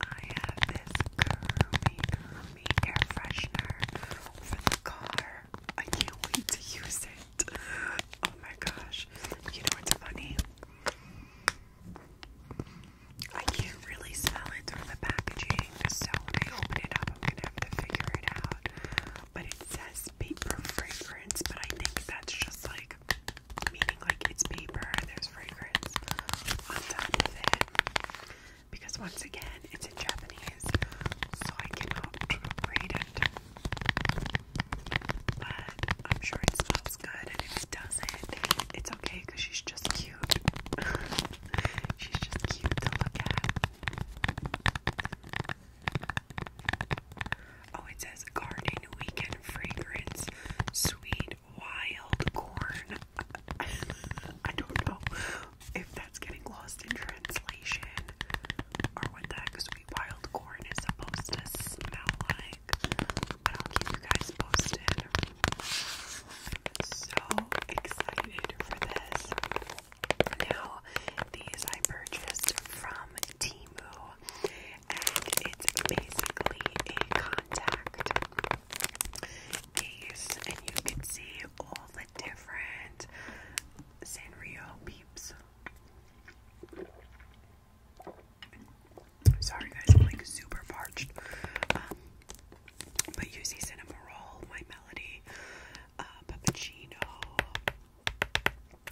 I have this Kurumi Kurumi air freshener for the car. I can't wait to use it. Oh my gosh. You know what's funny? I can't really smell it through the packaging, so when I open it up, I'm gonna have to figure it out. But it says paper fragrance, but I think that's just like meaning like it's paper there's fragrance on top of it. Because once again, it's in Japanese, so I cannot read it. But I'm sure it smells good, and if it doesn't, it's okay because she's just cute. She's just cute to look at. Oh, it says garden weekend fragrance, sweet wild corn. I don't know if that's getting lost in translation or what the sweet wild corn is supposed to smell like. But I'll keep you guys posted. So excited for this. Now, these I purchased from Timu, and it's basically a contact case, and you can see all the different Sanrio peeps. Sorry guys, I'm like super parched. Um, but you see cinnamon roll, my melody, uh, puppuccino,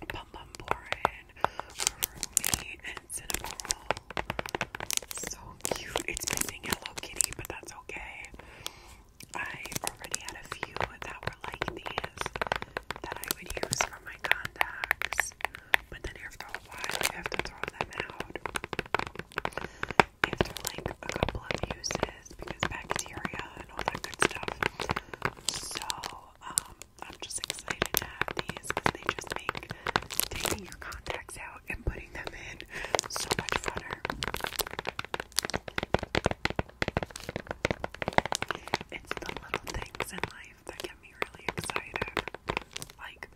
pum pum borin, Rumi, and cinnamon So cute. It's missing Yellow Kitty, but that's okay. I already had a few that were like these that I would use for my contacts, but then after a while, I have to throw them out after like a couple of uses because bacteria and all that good stuff. So um, I'm just excited to have these they just make taking your contacts out and putting them in so much funner. It's the little things in life that get me really excited. Like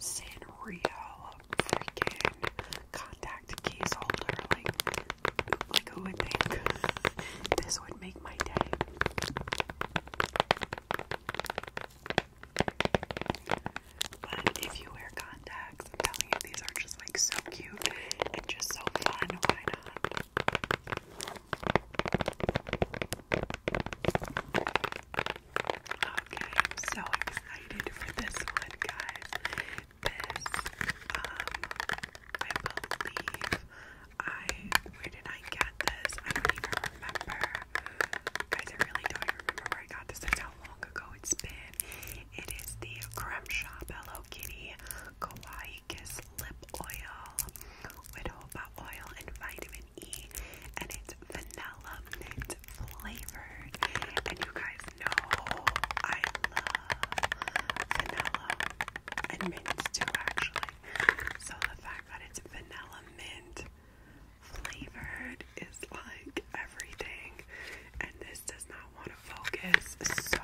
Sanrio freaking contact case holder. Like, like who would think this would make my day? But if you wear contacts, I'm telling you, these are just like so cute and just so fun. Why not? Okay, I'm so excited for this one, guys. This, um, I believe I, where did I get this? I don't even remember. Guys, I really don't remember where I got this. That's how long ago it's been. It is the Creme Shop Hello Kitty Kawaii Kiss Lip Oil with jojoba oil and vitamin and it's vanilla mint flavored. And you guys know I love vanilla and mint too, actually. So the fact that it's vanilla mint flavored is like everything. And this does not want to focus, so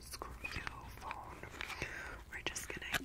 screw you, phone. We're just gonna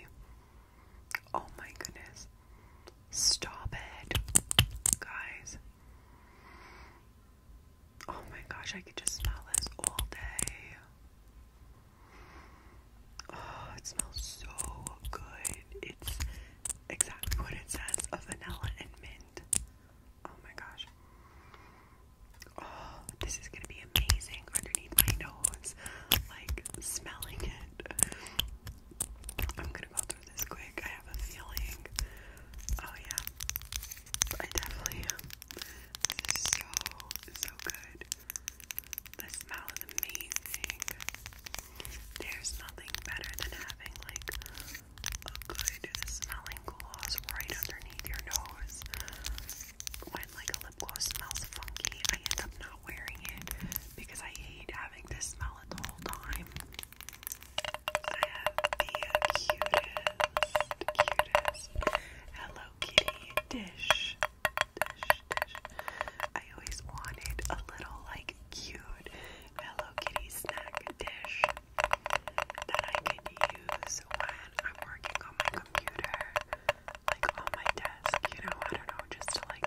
Oh my goodness. Stop it. Guys. Oh my gosh, I could just smell this all day. Oh, it smells so good. It's exactly what it says a vanilla and mint. Oh my gosh. Oh, this is gonna be amazing underneath my nose. Like smelling it. I'm gonna go through this quick. I have a feeling. Oh yeah. I definitely am. This is so so good. The smell is amazing. There's nothing better than having like a good smelling gloss right underneath your nose when like a lip gloss smells funky, I end up not wearing it because I hate having to smell it the whole time. I have the cutest, cutest Hello Kitty dish. I always wanted a little like cute Hello Kitty snack dish that I can use when I'm working on my computer like on my desk, you know, I don't know, just to like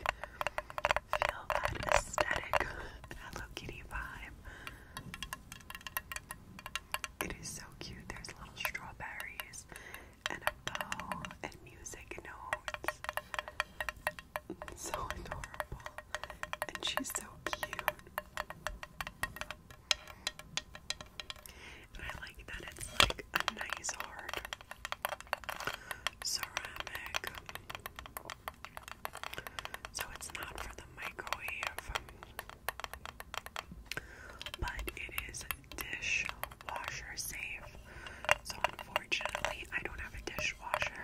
feel that aesthetic Hello Kitty vibe. It is so cute. There's little strawberries and a bow and music notes. So adorable. And she's so cute. And I like that it's like a nice hard ceramic. So it's not for the microwave, but it is dishwasher safe. So unfortunately, I don't have a dishwasher.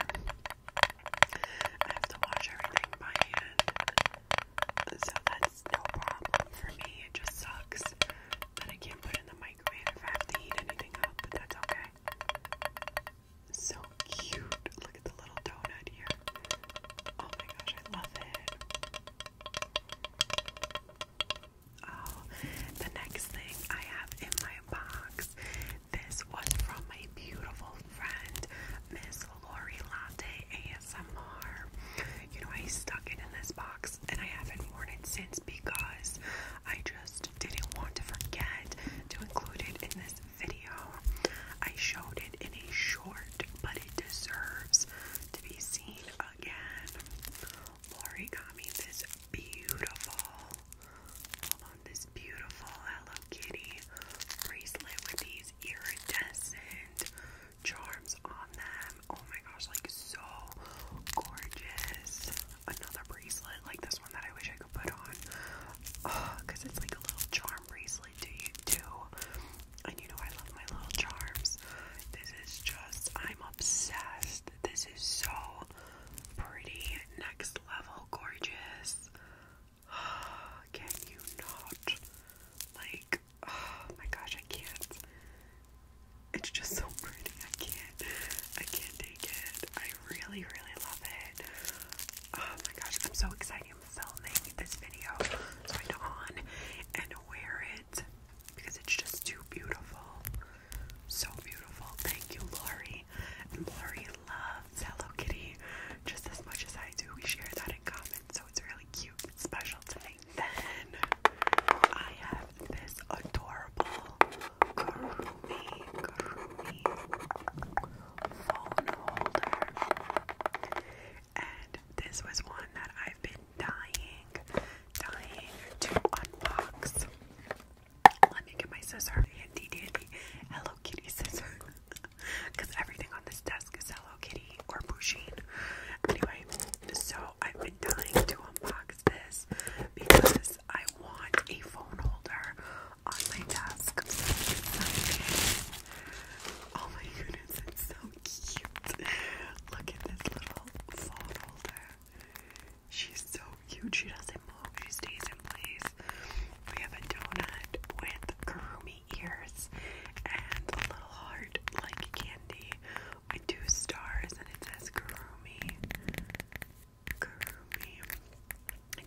I have to wash everything by hand. So that's no problem for me. It just sucks that I can't put in the microwave if have to heat anything up, but that's okay. So cute. Look at the little donut here. Oh my gosh, I love it. Oh, the next thing I have in my box. This was from my beautiful friend, Miss Lori Latte ASMR you know, I stuck it in this box and I haven't worn it since because I just didn't want to forget to include it in this video. I showed it in a short, but it deserves to be seen again. Lori got me this beautiful, this beautiful Hello Kitty bracelet with these iridescent charms on them. Oh my gosh, like so gorgeous. Another bracelet like this one that I wish I could put on. Uh, Cause it's like a little charm bracelet to you too. And you know I love my little charms. This is just I'm obsessed. This is so pretty. Next level gorgeous. Can you not? Like oh my gosh, I can't. It's just so pretty. I can't. I can't take it. I really, really love it. Oh my gosh, I'm so excited. I'm filming this video so I don and wear it because it's just too beautiful. So beautiful. Thank you, Lori. And Lori loves Hello Kitty just as much as I do. We share that in common so it's really cute special to me. Then I have this adorable Kurumi Kurumi phone holder, and this was one that I've been dying, dying to unbox. Let me get my scissor, handy dandy Hello Kitty scissor, because everything on this desk is Hello Kitty or Pusheen. Anyway, so I've been dying to unbox this because I want a phone holder on my desk. Oh my goodness, it's so cute. Look at this little phone holder. She's so cute. She doesn't move, she stays in place. We have a donut with karumi ears and a little heart like candy with two stars and it says Kurumi. Kurumi.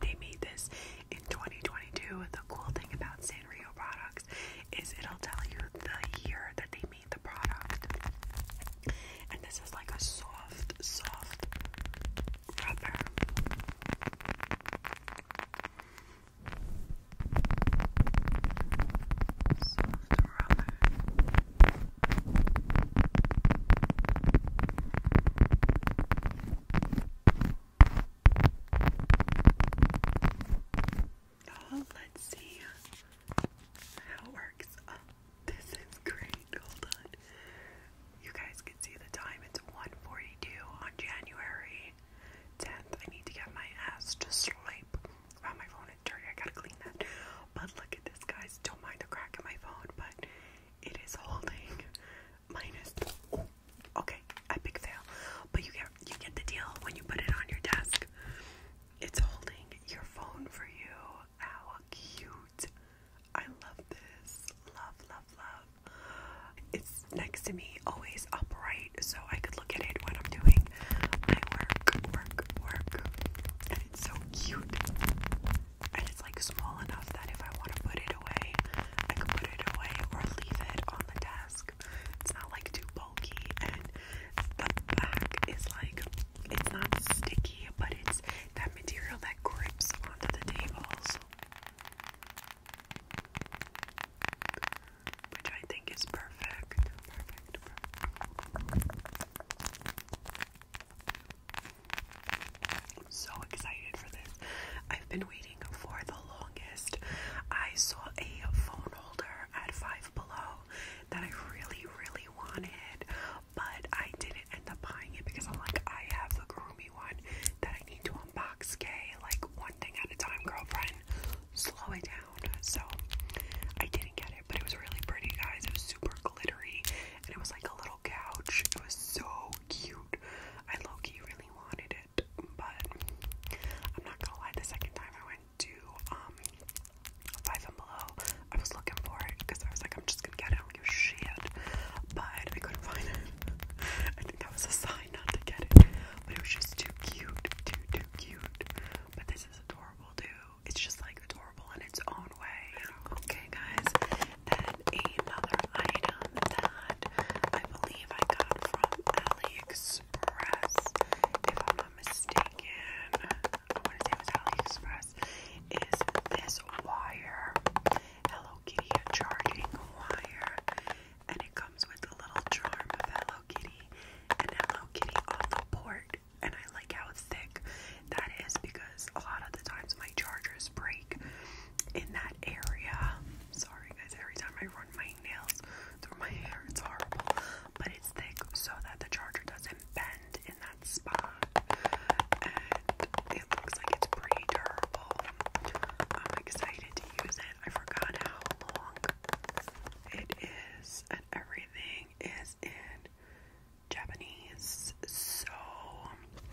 They made this in 2022. The cool thing about Sanrio products is it'll tell you the year that they made the product. And this is like a soft, soft rubber. Oh, let's see how it works. Oh, this is great. Hold on. You guys can see the time. It's one forty-two on January 10th. I need to get my ass to sleep. Wow, oh, my phone is dirty. I gotta clean that. But look at this, guys. Don't mind the crack in my phone, but it is holding okay, epic fail. But you get you get the deal when you put it on your desk. It's holding your phone for you. How cute! I love this. Love, love, love. It's next to me, always upright so I could look at it when I'm doing my work, work, work. And it's so cute. And it's like small enough that if I want to put it away, I can put it away or leave it on the desk. It's not like too bulky. And the back is like, it's not sticky, but it's that material that grips onto the tables which I think is perfect. Perfect, perfect. I'm so excited for this. I've been waiting for the longest. I saw a phone holder at Five Below that I really, really wanted, but I didn't end up buying it because I'm like, I have the groomy one that I need to unbox, gay, like one thing at a time, girlfriend. Slow it down so I didn't get it, but it was really pretty, guys. It was super glittery, and it was like a little couch. It was so cute. I low-key really wanted it, but I'm not gonna lie, the second time I went to um Five Below, I was looking for it because I was like, I'm just gonna get it, I am not give a shit, but I couldn't find it. I think that was a sign not to get it, but it was just too cute, too, too, cute. But this is adorable too. It's just like adorable in its own way. Okay, guys. Then another item that I believe I got from AliExpress, if I'm not mistaken. I want to say it was AliExpress. Is this wire? Hello Kitty charging wire? and it comes with a little charm of Hello Kitty and Hello Kitty on the port. And I like how thick that is because a lot of the times my chargers break in that area. Sorry, guys, every time I run my nails through my hair, it's horrible. But it's thick so that the charger doesn't bend in that spot. And it looks like it's pretty durable. I'm excited to use it. I forgot how long it is, and everything is in Japanese, so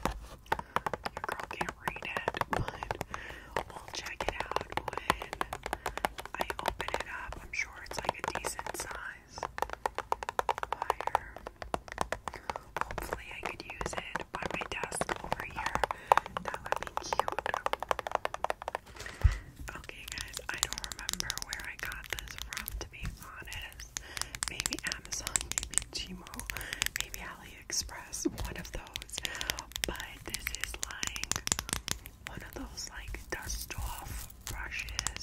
your girl can't read it, but we'll check it out when I open it up. I'm sure it's like a decent size Hopefully, I could use it by my desk over here. That would be cute. Okay, guys, I don't remember where I got this from, to be honest. Maybe Amazon, maybe Gmo, maybe AliExpress, one of those. But this is like one of those like dust off brushes,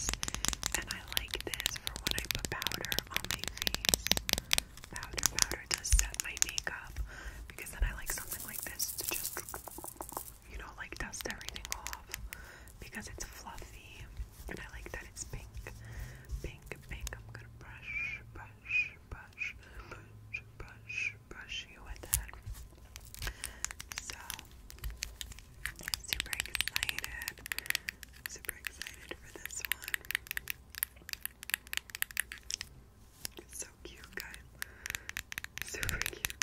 and I like this for when I put powder on my face. Powder, powder does set my makeup because then I like something like this to just you know, like dust everything off because it's fluffy and I like that it's pink. Pink, pink. I'm gonna brush, brush, brush, brush, brush, brush you with it. So, I'm super excited. Super excited for this one. It's so cute, guys. Super cute.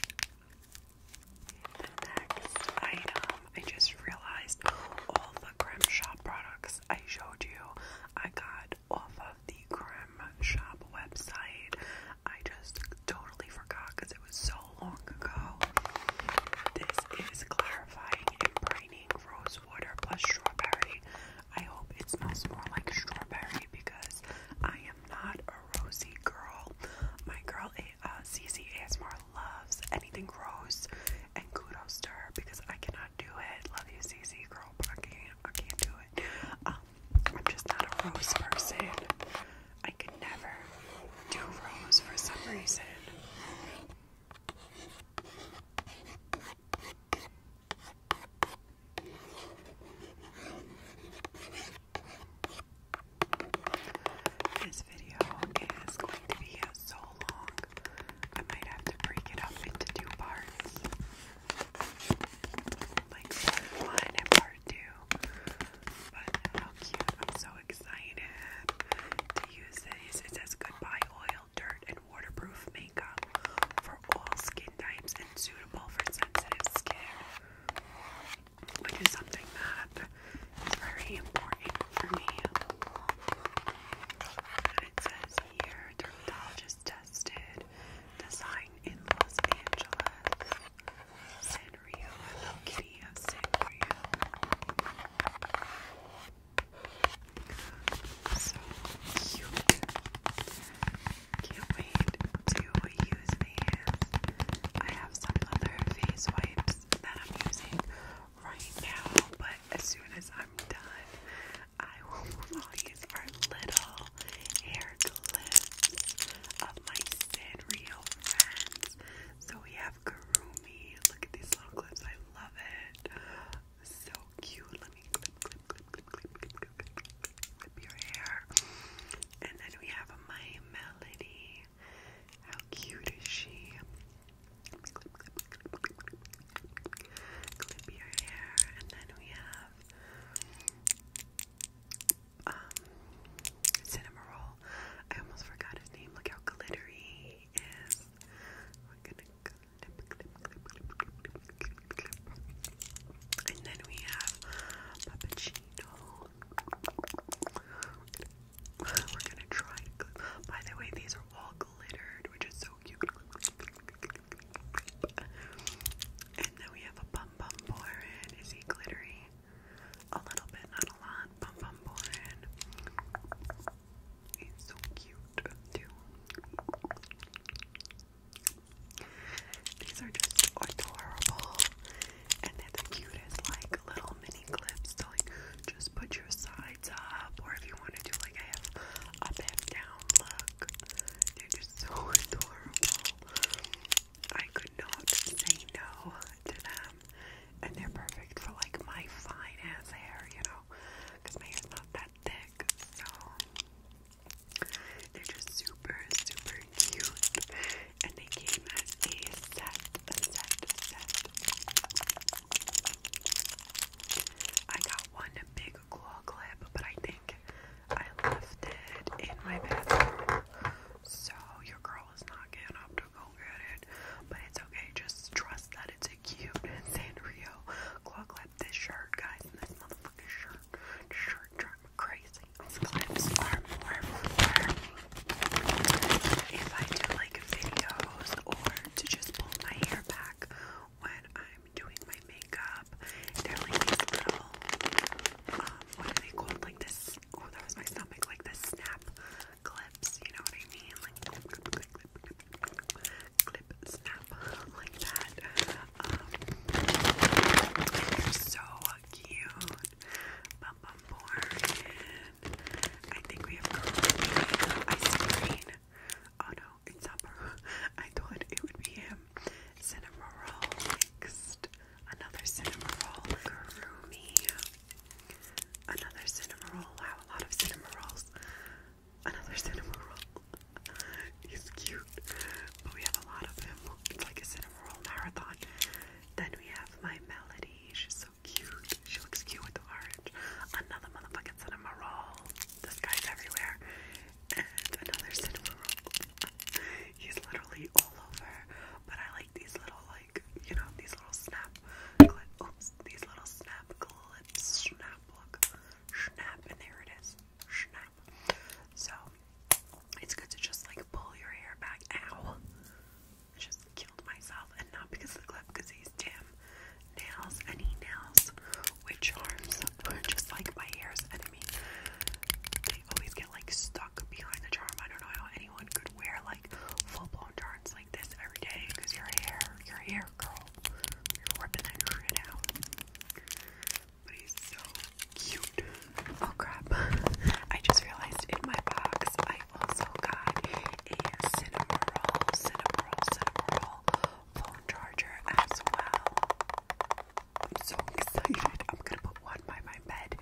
The next item, I just realized all the Creme Shop products I showed you, I got off of the Creme Shop website. I just totally forgot because it was so long ago. This is clarifying and brightening rose water plus strawberry. I hope it smells more like strawberry because I am not a rosy girl. My girl uh, CC ASMR loves anything rose, and kudos to her because I cannot do it. Love you, CC girl, but I can't. I can't do it. Um, I'm just not a rose person. I could never do rose for some reason. This video is going to be so long, I might have to break it up into two parts. Like part one and part two. But how cute. I'm so excited to use this. It says goodbye oil, dirt, and waterproof makeup all skin types and suitable for sensitive skin, which is something that is very important for me. And it says here, dermatologist tested, designed in Los Angeles, Sanrio, Hello Kitty of Sanrio. So cute. Can't wait do use these. I have some other face wipes that I'm using right now, but as soon as I'm done, I will move on. These little hair clips of my Sanrio friends. So we have Karumi. Look at these little clips. I love it. So cute. Let me clip, clip, clip, clip, clip, clip, Flip your hair. And then we have my Melody. How cute is she? Clip, your hair. And then we have um Cinema Roll. I almost forgot his name. Look how glittery is. And then we have puppuccino. We're gonna try By the way, these are all glittered, which is so cute. And then we have a bum bum Is he glittery? A little bit, not a lot. Bum bum He's so cute too. These are just adorable, and they're the cutest, like little mini clips to like just put your sides up, or if you want to like have up and down look. They're just so adorable. I could not say no to them, and they're perfect for like my fine ass hair, you know, because my hair's not that thick. So they're just super, super cute. And they came as a set, a set, a set. I got one big claw clip, but I think I left it in my bathroom. So your girl is not getting up to go get it. But it's okay, just trust that it's a cute Sanrio claw clip. This shirt, guys, and this motherfucking shirt Sure, drive crazy. clips are more for if I do like videos or to just pull my hair back when I'm doing my makeup. They're like these little, um, what are they called? Like this, oh, that was my stomach, like the snap clips, you know what I mean? Like clip, clip snap like that. they're um, so cute. Bumbumborn. I think we have Karate. I Oh no, it's not I thought it would be him. Cinema roll next. Another cinnamon roll. Karumi. Another cinema roll. Wow, a lot of cinema rolls. Another cinema roll. He's cute. But we have a lot of him. It's like a cinema marathon. Then we have my Melody. She's so cute. She looks cute with the orange. Another motherfucking cinema This guy's everywhere. And another cinema He's literally all over. But I like these little, like, you know, these little snap clips. these little snap clips. Snap, look. Snap, and there it is. Snap. So it's good to just like pull your hair back. Ow! I just killed myself, and not because of the clip, because these damn nails, any nails which charms are just like my hair's enemy. They always get like stuck behind the charm. I don't know how anyone could wear like full blown charms like this every day because your hair, your hair, girl, you're ripping it out he's so cute. Oh crap. I just realized in my box I also got a Cinnamoroll, Cinnamoroll, Cinnamoroll phone charger as well. I'm so excited. I'm gonna put one by my bed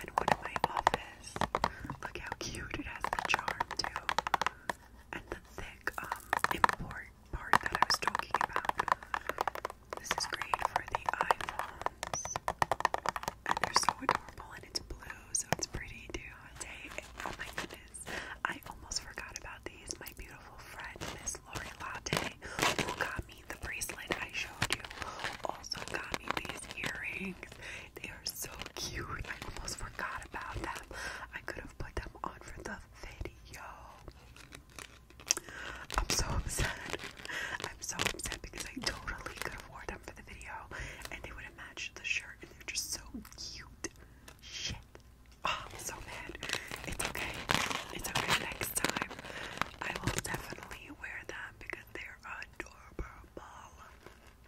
and one in my office. Look how cute it has the charm too. And the thick um import part that I was talking about. This is great for the iPhones. And they're so adorable and it's blue, so it's pretty too. Day. Oh my goodness. I almost forgot about these. My beautiful friend, Miss Lori Latte, who got me the bracelet I showed you, also got me these earrings. They are so cute. I almost forgot about them. I could have put them on for the video. I'm so upset. I'm so upset because I totally could have worn them for the video and they would have matched the shirt and they're just so cute. Shit. Oh, I'm so mad. It's okay. It's okay. Next time I will definitely wear them because they're adorable.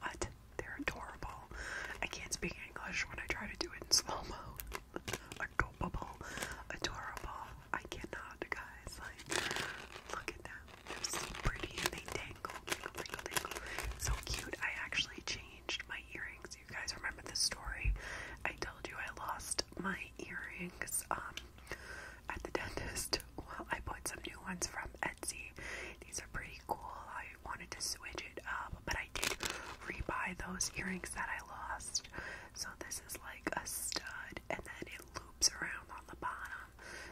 What? They're adorable. I can't speak English when I try to do it in slow-mo adorable, adorable. I cannot, guys. Like, look at them. They're so pretty and they tangle, tangle, tangle, tangle. So cute. I actually changed my earrings. You guys remember this story? I told you I lost my earrings um at the dentist. Well, I bought some new ones from Etsy. These are pretty cool. I wanted to switch it up, but I I did rebuy those earrings that I lost. So this is like a stud and then it loops around on the bottom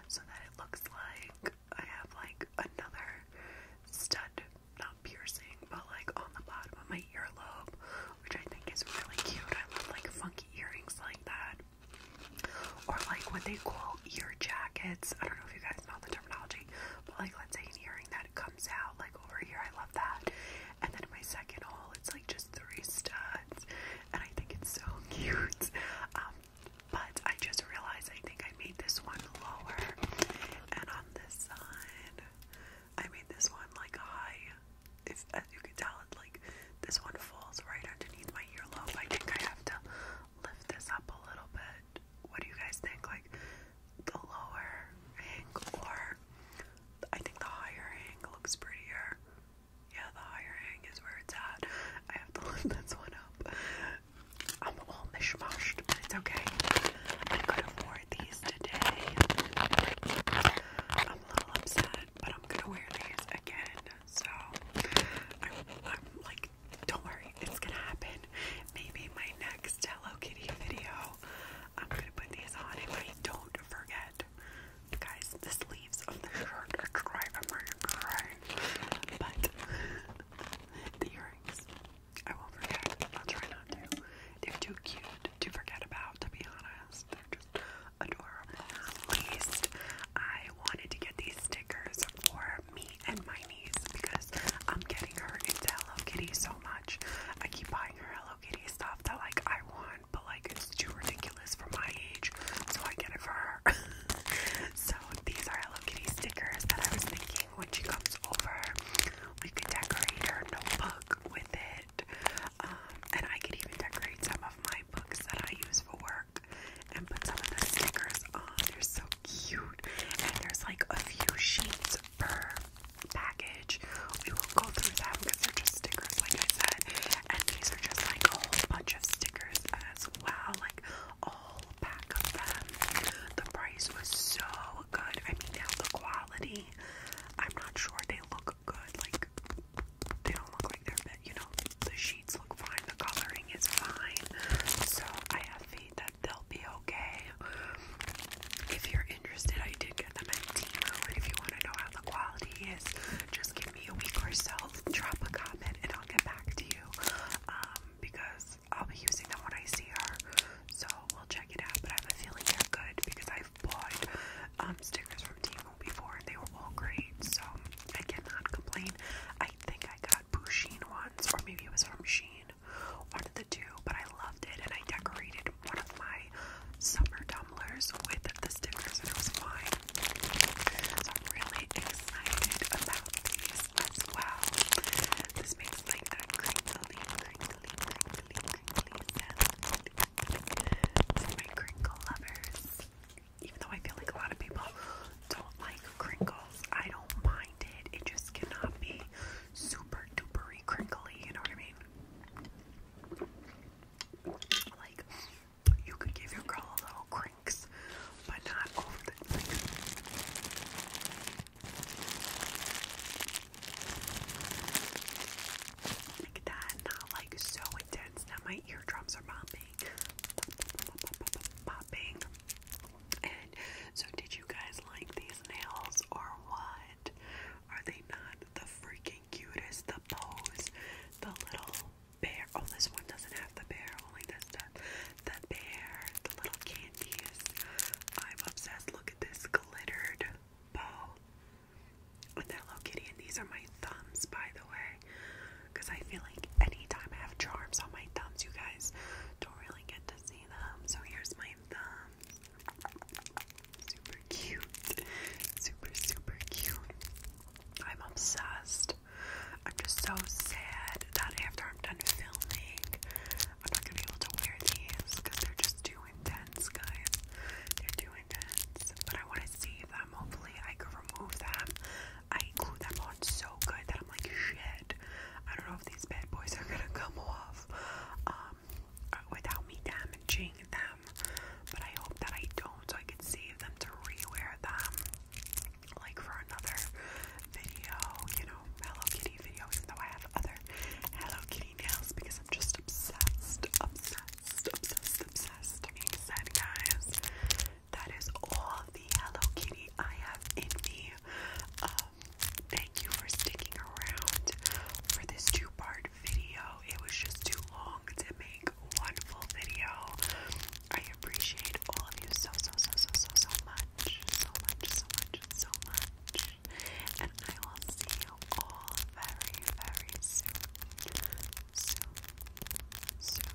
so that it looks like I have like another stud, not piercing, but like on the bottom of my earlobe, which I think is really cute. I love like funky earrings like that. Or like what they call ear jackets. I don't know if you guys know the terminology, but like let's say an earring that comes out like over here. I love that. And then in my second hole, it's like just three studs, and I think it's so cute. Um, but I just realized I think I made this one lower, and on this side, I made this one like high. If as you can tell, it like this one falls right underneath my earlobe. I think I have to lift this up a little bit. What do you guys think? Like, the lower angle, I think the higher angle looks prettier. Yeah, the higher hang is where it's at. I have to lift this one up. I'm all mishmashed, but it's okay. I could afford these today. I'm a little upset, but I'm gonna wear these again. So I'm, I'm like, don't worry, it's gonna happen. Maybe my next Hello Kitty video I'm gonna put these on if I don't forget. Guys, the sleeves of the shirt are dry. I'm But the earrings, I won't forget. I'll try not to. They're too cute to forget about, to be honest. they just adorable. At least I wanted to get these stickers for me and my niece because I'm getting her into Hello Kitty so much. I keep buying buying her Hello Kitty stuff that like I want, but like it's too ridiculous for my age, so I get it for her. so these are Hello Kitty stickers that I was thinking when she comes over, we could decorate her notebook with it. Um, and I could even decorate some of my books that I use for work and put some of the stickers on. They're so cute. And there's like a few sheets per package. We will go through them because they're just stickers, like I said. And these are just like a whole bunch of stickers as well, like a pack of them. The price was so good. I mean, now the quality, I'm not sure they look good. Like, they don't look like they're, you know, the sheets look fine, the coloring is fine. So, I have faith that they'll be okay. If you're interested, I did get them at Timo, and if you want to know how the quality is, just give me a week or so, drop a comment, and I'll get back to you, um, because I'll be using them when I see her, so we'll check it out, but I have a feeling they're good, because I've bought, um, stickers from Timo before, and they were all great, so I cannot complain. I think I got Bouchine once, or maybe it was from Sheen, one of the two, but I loved it and I decorated one of my summer tumblers with the stickers and it was fine. So I'm really excited about these as well. This makes like a crinkly, crinkly, crinkly, crinkly sound. my crinkle lovers. Even though I feel like a lot of people don't like crinkles, I don't mind it. It just cannot be super dupery crinkly, you know what I mean? Like, you could give your girl a little crinks, but not over the like. Like that, not like so intense that my eardrums are popping, popping. And so, did you guys like these nails or what? Are they not the freaking cutest? The pose, the little bear. Oh, this one doesn't have the bear, only this The bear, the little candies. I'm obsessed. Look at this glittered bow. With that Hello Kitty, and these are my thumbs, by the way. Because I feel like anytime I have charms on my thumbs, you guys don't really get to see them. So here's my thumb. Super cute. Super, super cute. I'm obsessed. I'm just so sad that after I'm done filming, I'm not gonna be able to wear these because they're just too intense, guys. They're too intense. But I want to save them. Hopefully, I can remove them. I glued them on so good that I'm like, shit. I don't know if these bad boys are gonna come off. Um, without me damaging them. But I hope that I don't, so I can save them to rewear them, like for another video, you know, Hello Kitty video. Even though I have other Hello Kitty nails, because I'm just obsessed, obsessed, obsessed, obsessed. Being said, guys, that is all the Hello Kitty I have in me. Um, thank you for sticking around for this two part video. It was just too long to make one full video. I appreciate all of you so, so, so, so, so, so much. So much, so much, so much. And I will see you all very, very soon. Soon. Soon.